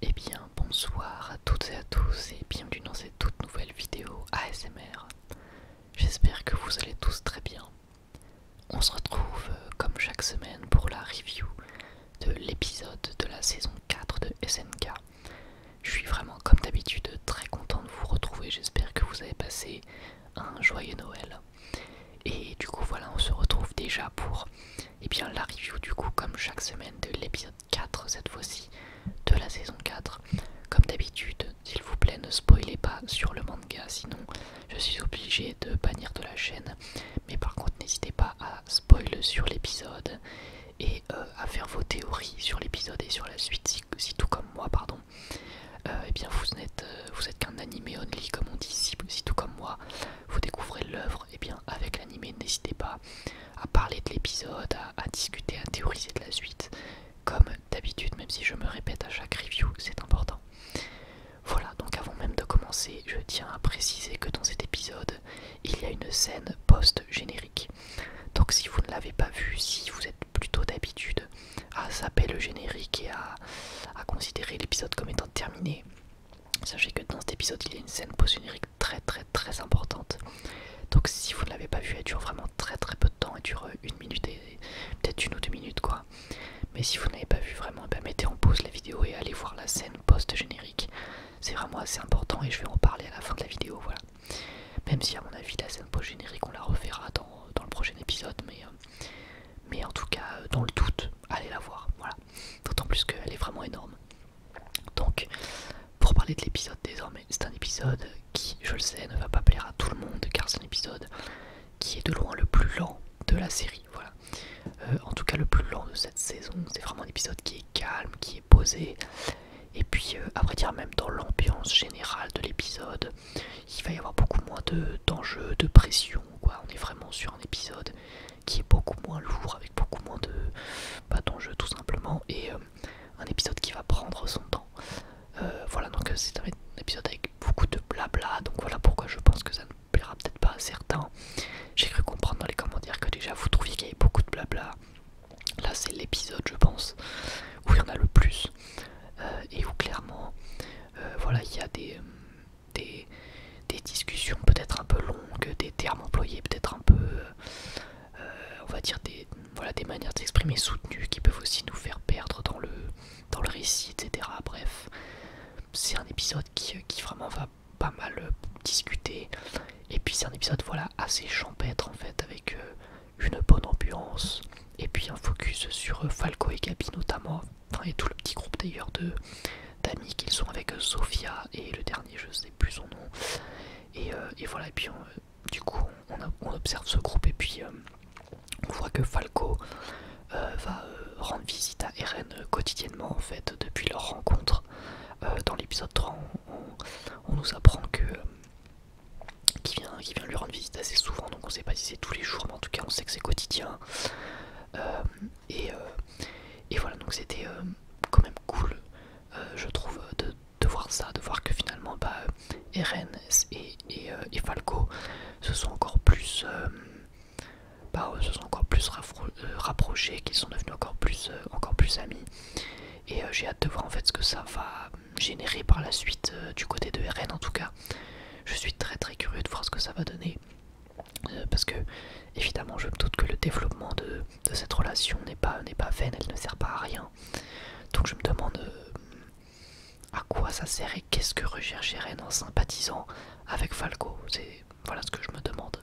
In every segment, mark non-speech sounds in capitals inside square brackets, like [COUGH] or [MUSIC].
Et eh bien, bonsoir à toutes et à tous et bienvenue dans cette toute nouvelle vidéo ASMR. J'espère que vous allez tous très bien. On se retrouve euh, comme chaque semaine pour la review de l'épisode de la saison 4 de SNK. Je suis vraiment, comme d'habitude, très content de vous retrouver. J'espère que vous avez passé un joyeux Noël. Et du coup, voilà, on se retrouve déjà pour eh bien, la review, du coup, comme chaque semaine, de l'épisode 4, cette fois-ci, de la saison 4. Comme d'habitude, s'il vous plaît, ne spoilez pas sur le manga, sinon je suis obligé de bannir de la chaîne. Mais par contre, n'hésitez pas à spoiler sur l'épisode et euh, à faire vos théories sur l'épisode et sur la suite si, tout comme moi pardon euh, eh bien vous n'êtes euh, vous êtes qu'un animé only comme on dit si, si tout comme moi vous découvrez l'œuvre et eh bien avec l'animé n'hésitez pas à parler de l'épisode à discuter à théoriser de la suite comme d'habitude même si je me répète à chaque review c'est important voilà donc avant même de commencer je tiens à préciser que dans cet épisode il y a une scène post-générique. Donc si vous ne l'avez pas vu, si vous êtes plutôt d'habitude à zapper le générique et à, considérer l'épisode comme étant terminé, sachez que dans cet épisode, il y a une scène post-générique très très très importante. Donc si vous ne l'avez pas vu, elle dure vraiment très très peu de temps, elle dure une minute et peut-être une ou deux minutes quoi. Mais si vous n'avez pas vu vraiment, eh ben, mettez en pause la vidéo et allez voir la scène post-générique c'est vraiment assez important et je vais en parler à la fin de la vidéo, voilà. Même si à mon avis la scène post-générique on la reverra dans, le prochain épisode, mais, euh, en tout cas euh, dans le doute, allez la voir, voilà. D'autant plus qu'elle est vraiment énorme. Donc pour parler de l'épisode désormais, c'est un épisode qui, je le sais, ne va pas plaire à tout le monde car c'est un épisode qui est de loin le plus lent de la série, voilà. Euh, en tout cas le plus lent de cette saison. C'est vraiment un épisode qui est calme, qui est posé. Et puis, euh, à vrai dire, même dans l'ambiance générale de l'épisode, il va y avoir beaucoup moins d'enjeux, de, de pression. On est vraiment sur un épisode qui est beaucoup moins lourd, avec beaucoup moins de pas bah, d'enjeux tout simplement. Et euh, un épisode qui va prendre son temps. voilà, donc c'est un épisode avec beaucoup de blabla. Donc voilà pourquoi je pense que ça ne peut-être pas certains. J'ai cru comprendre dans les commentaires que déjà vous trouviez qu'il y avait beaucoup de blabla. Là, c'est l'épisode, je pense, où il y en a le plus euh, et où clairement, euh, voilà, il y a des, des, discussions peut-être un peu longues, des termes employés peut-être un peu, euh, on va dire des, voilà, des manières d'exprimer soutenues qui peuvent aussi nous faire perdre dans le, dans le récit, etc. Bref, c'est un épisode qui, qui vraiment va pas mal euh, discuté. Et puis c'est un épisode voilà assez champêtre en fait avec euh, une bonne ambiance et puis un focus sur euh, Falco et Gabi notamment et tout le petit groupe d'ailleurs de d'amis qu'ils sont avec Sofia et le dernier je sais plus son nom et, voilà et puis du coup on, observe ce groupe et puis on voit que Falco euh, va euh, rendre visite à Eren euh, quotidiennement en fait depuis leur rencontre. dans l'épisode 3 on, nous apprend que qui vient, qui vient lui rendre visite assez souvent donc on sait pas si c'est tous les jours mais en tout cas on sait que c'est quotidien. et, voilà donc c'était quand même cool je trouve de, voir ça, de voir que finalement bah, Eren et, Falco se sont encore plus bah, euh, se sont encore plus euh, rapprochés, qu'ils sont devenus encore plus, euh, amis. Et j'ai hâte de voir en fait ce que ça va générer par la suite du côté de RN en tout cas. Je suis très très curieux de voir ce que ça va donner. parce que évidemment je me doute que le développement de, cette relation n'est pas, pas vain, elle ne sert pas à rien. Donc je me demande à quoi ça sert qu'est-ce que recherche Eren en sympathisant avec Falco C'est voilà ce que je me demande.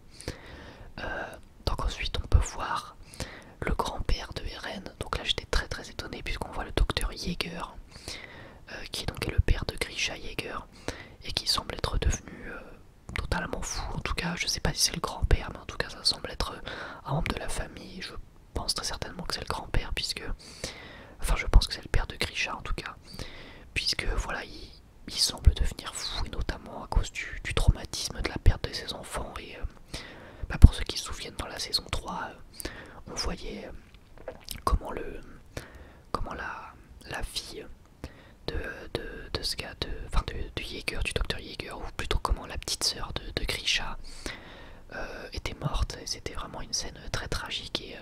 Euh, donc ensuite, on peut voir le grand-père de Eren. Donc là, j'étais très très étonné puisqu'on voit le docteur Jaeger, euh, qui donc est le père de Grisha Jaeger et qui semble être devenu euh, totalement fou. En tout cas, je sais pas si c'est le grand-père, mais en tout cas, ça semble être un membre de la famille. Je pense très certainement que c'est le grand-père puisque, enfin, je pense que c'est le père de Grisha en tout cas. Puisque voilà, il, semble devenir fou, notamment à cause du, traumatisme de la perte de ses enfants. Et euh, bah, pour ceux qui se souviennent, dans la saison 3, euh, on voyait euh, comment, le, comment la, la fille de, de, ce gars, de, enfin de, du du docteur Jaeger, ou plutôt comment la petite soeur de, Grisha était morte. Et c'était vraiment une scène très tragique. Et,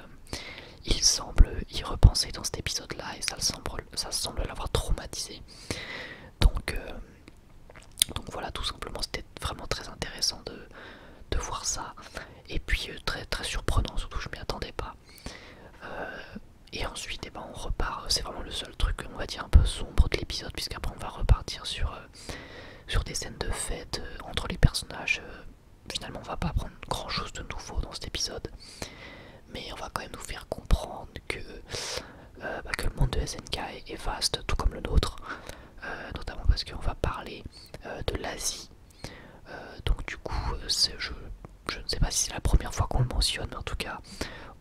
il semble y repenser dans cet épisode là et ça semble, l'avoir traumatisé donc, euh, donc voilà tout simplement c'était vraiment très intéressant de, voir ça et puis euh, très très surprenant surtout je m'y attendais pas euh, et ensuite eh ben, on repart c'est vraiment le seul truc on va dire un peu sombre de l'épisode puisqu'après on va repartir sur, sur des scènes de fête entre les personnages finalement on va pas apprendre grand chose de nouveau dans cet épisode mais on va quand même nous faire comprendre que, euh, bah, que le monde de SNK est vaste tout comme le nôtre euh, notamment parce qu'on va parler euh, de l'Asie donc du coup je, ne sais pas si c'est la première fois qu'on le mentionne mais en tout cas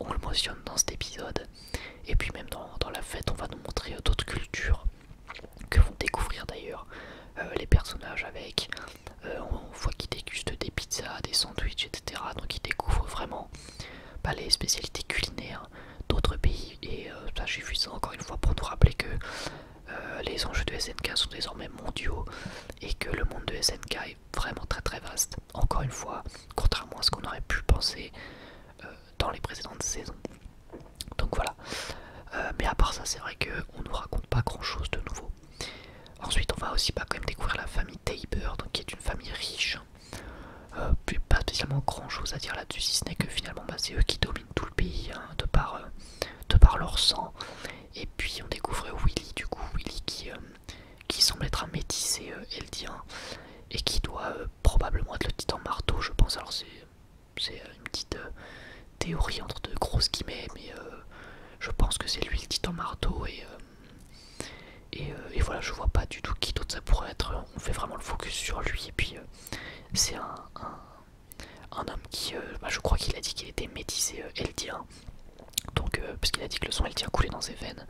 on le mentionne dans cet épisode et puis même dans la fête on va nous montrer d'autres cultures que vont découvrir d'ailleurs euh, les personnages avec. Euh, on voit qu'ils dégustent des pizzas, des sandwichs, etc. Donc ils découvrent vraiment pas bah, les spécialités culinaires d'autres pays. Et euh, ça, suffit encore une fois pour nous rappeler que les enjeux de SNK sont désormais mondiaux et que le monde de SNK est vraiment très très vaste. Encore une fois, contrairement à ce qu'on aurait pu penser, dans les précédentes saisons. Donc voilà. Euh, mais à part ça, c'est vrai qu'on nous raconte pas grand chose de nouveau. Ensuite, on va aussi pas quand même découvrir la famille Tabor, donc qui est une famille riche. Euh, puis pas spécialement grand chose à dire là-dessus, si ce n'est que finalement bah, c'est eux qui dominent tout le pays hein, de, par, euh, de par leur sang. Et puis on découvre Willy, du coup, Willy qui, qui semble être un métis et eldien et qui doit probablement être le titan marteau, je pense. Alors c'est c'est euh, une petite euh, théorie entre deux grosses guillemets, mais euh, je pense que c'est lui le titan marteau et, et, voilà, je vois pas du tout qui d'autre ça pourrait être. On fait vraiment le focus sur lui et puis c'est un, homme qui, bah, je crois qu'il a dit qu'il était métisé et eldien, donc a dit que le sang eldien coulait dans ses veines.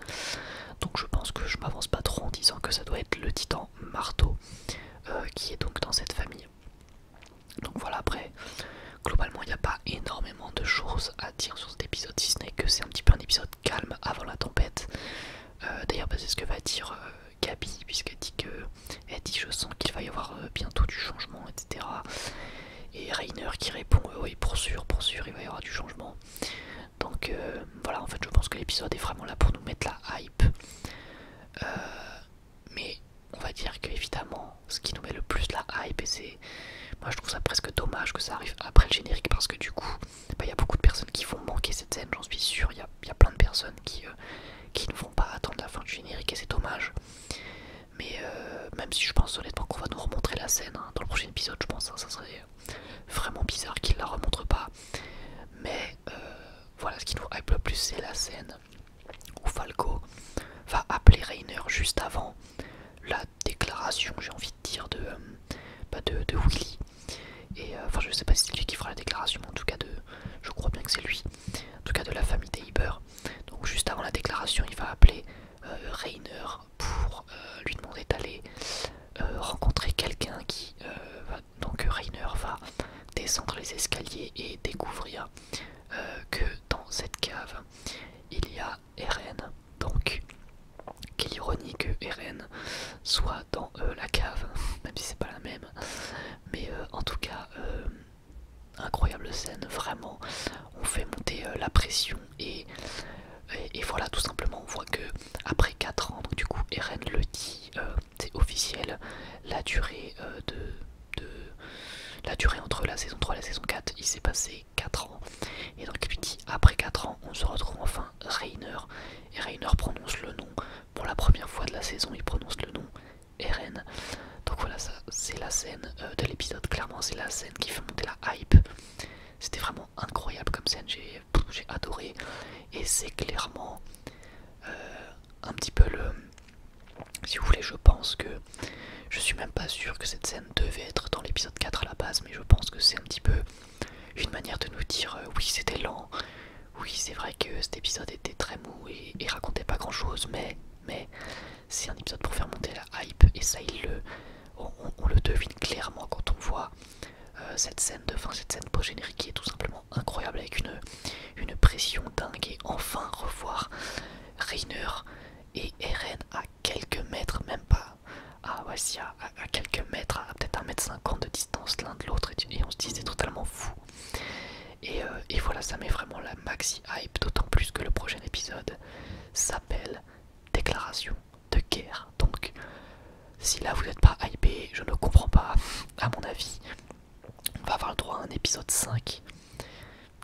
Donc je pense que je m'avance pas trop en disant que ça doit être le titan marteau. Euh, qui est donc dans cette famille. Donc voilà, après, globalement, il n'y a pas énormément de choses à dire sur cet épisode, si ce n'est que c'est un petit peu un épisode calme avant la tempête. Euh, d'ailleurs, bah, c'est ce que va dire euh, Gabi, puisqu'elle dit que elle dit Je sens qu'il va y avoir bientôt du changement, etc. Et Rainer qui répond Oui, pour sûr, pour sûr, il va y avoir du changement. Donc euh, voilà, en fait, je pense que l'épisode est vraiment là pour nous mettre la hype. Euh, mais on va dire que évidemment, ce qui nous met le plus la hype, et c'est, moi, je trouve ça presque dommage que ça arrive après le générique parce que du coup, bah, il y a beaucoup de personnes qui vont manquer cette scène, j'en suis sûr. Il y, a, plein de personnes qui, euh, qui ne vont pas attendre la fin du générique et c'est dommage. Mais même si je pense honnêtement qu'on va nous remontrer la scène hein, dans le prochain épisode, je pense hein, ça serait vraiment bizarre qu'il la remontre pas. Mais euh, voilà, ce qui nous hype le plus, c'est la scène où Falco va appeler Rainer juste avant la déclaration, j'ai envie de dire, de, euh, bah, de, Willy. Et euh, enfin, je sais pas si c'est lui qui fera la déclaration, en tout cas, de, je crois bien que c'est lui, en tout cas de la famille des Donc, juste avant la déclaration, il va appeler Rainer pour euh, lui demander d'aller euh, rencontrer quelqu'un qui euh, donc Rainer va descendre les escaliers et découvrir que dans cette cave il y a Eren donc quelle ironie que Eren soit dans la cave [LAUGHS] même si c'est pas la même mais en tout cas incroyable scène vraiment on fait monter la pression et, voilà tout simplement on voit que après 4 ans du coup Eren le dit euh, c'est officiel la durée euh, de, la durée entre la saison 3 et la saison 4 il s'est passé 4 ans et donc il dit après 4 ans on se retrouve enfin Rainer et Rainer prononce le nom pour la première fois de la saison il prononce le nom Eren donc voilà ça c'est la scène euh, de l'épisode clairement c'est la scène qui fait monter la hype c'était vraiment incroyable comme scène, j'ai adoré. Et c'est clairement euh, un petit peu le... Si vous voulez, je pense que... Je suis même pas sûr que cette scène devait être dans l'épisode 4 à la base, mais je pense que c'est un petit peu une manière de nous dire euh, oui c'était lent, oui c'est vrai que cet épisode était très mou et, et racontait pas grand chose, mais mais c'est un épisode pour faire monter la hype et ça il le on, le devine clairement quand on voit euh, cette scène de fin, cette scène post-générique qui est tout simplement incroyable avec une, une pression dingue et enfin revoir Rainer et Eren à quelques mètres, même pas à, à, quelques mètres, à, peut-être 1m50 de distance l'un de l'autre et, on se dit c'est totalement fou. Euh, et voilà, ça met vraiment la maxi hype, d'autant plus que le prochain épisode s'appelle Déclaration de guerre. Donc, si là vous n'êtes pas hypé, je ne comprends pas. À mon avis, on va avoir le droit à un épisode 5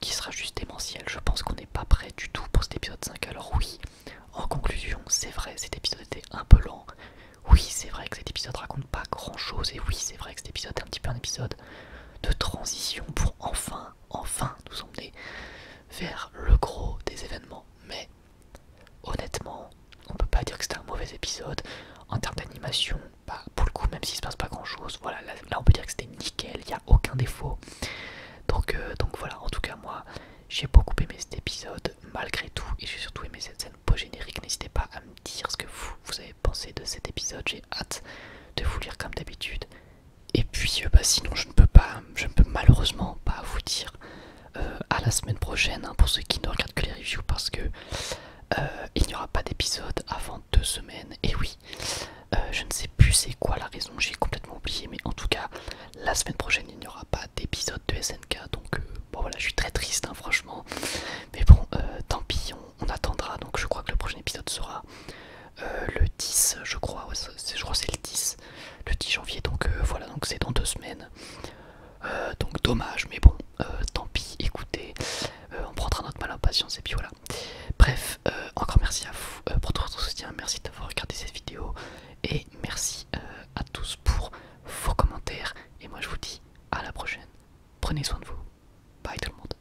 qui sera juste démentiel. Je pense qu'on n'est pas prêt du tout pour cet épisode 5. Alors, oui, en conclusion, c'est vrai, cet épisode était un peu lent. Oui, c'est vrai que cet épisode raconte pas grand chose, et oui, c'est vrai que cet épisode est un petit peu un épisode de transition pour enfin enfin, nous emmener vers le gros des événements. Mais honnêtement, on peut pas dire que c'était un mauvais épisode. En termes d'animation, bah, pour le coup, même s'il se passe pas grand chose, voilà, là, on peut dire que c'était nickel, il n'y a aucun défaut. Donc, euh, donc voilà, en tout cas moi j'ai beaucoup aimé cet épisode malgré tout et j'ai surtout aimé cette scène post-générique. N'hésitez pas à me dire ce que vous avez pensé de cet épisode, j'ai hâte de vous lire comme d'habitude. Et puis euh, bah, sinon je ne peux pas, je peux malheureusement pas vous dire euh, à la semaine prochaine hein, pour ceux qui ne regardent que les reviews parce que euh, il n'y aura pas d'épisode avant deux semaines. Et oui, je ne sais plus c'est quoi la raison, j'ai complètement oublié, mais en tout cas la semaine prochaine il n'y aura pas d'épisode de SNK donc bon voilà je suis très triste hein, franchement mais bon tant pis on attendra donc je crois que le prochain épisode sera euh, le 10 je crois je crois c'est le 10 le 10 janvier donc euh, voilà donc c'est dans deux semaines euh, donc dommage mais bon tant pis écoutez on prendra notre mal en patience et puis voilà bref encore merci à vous pour tout votre soutien merci d'avoir regardé cette vidéo et merci à tous pour vos commentaires et moi je vous dis à la prochaine prenez soin de vous bye tout le monde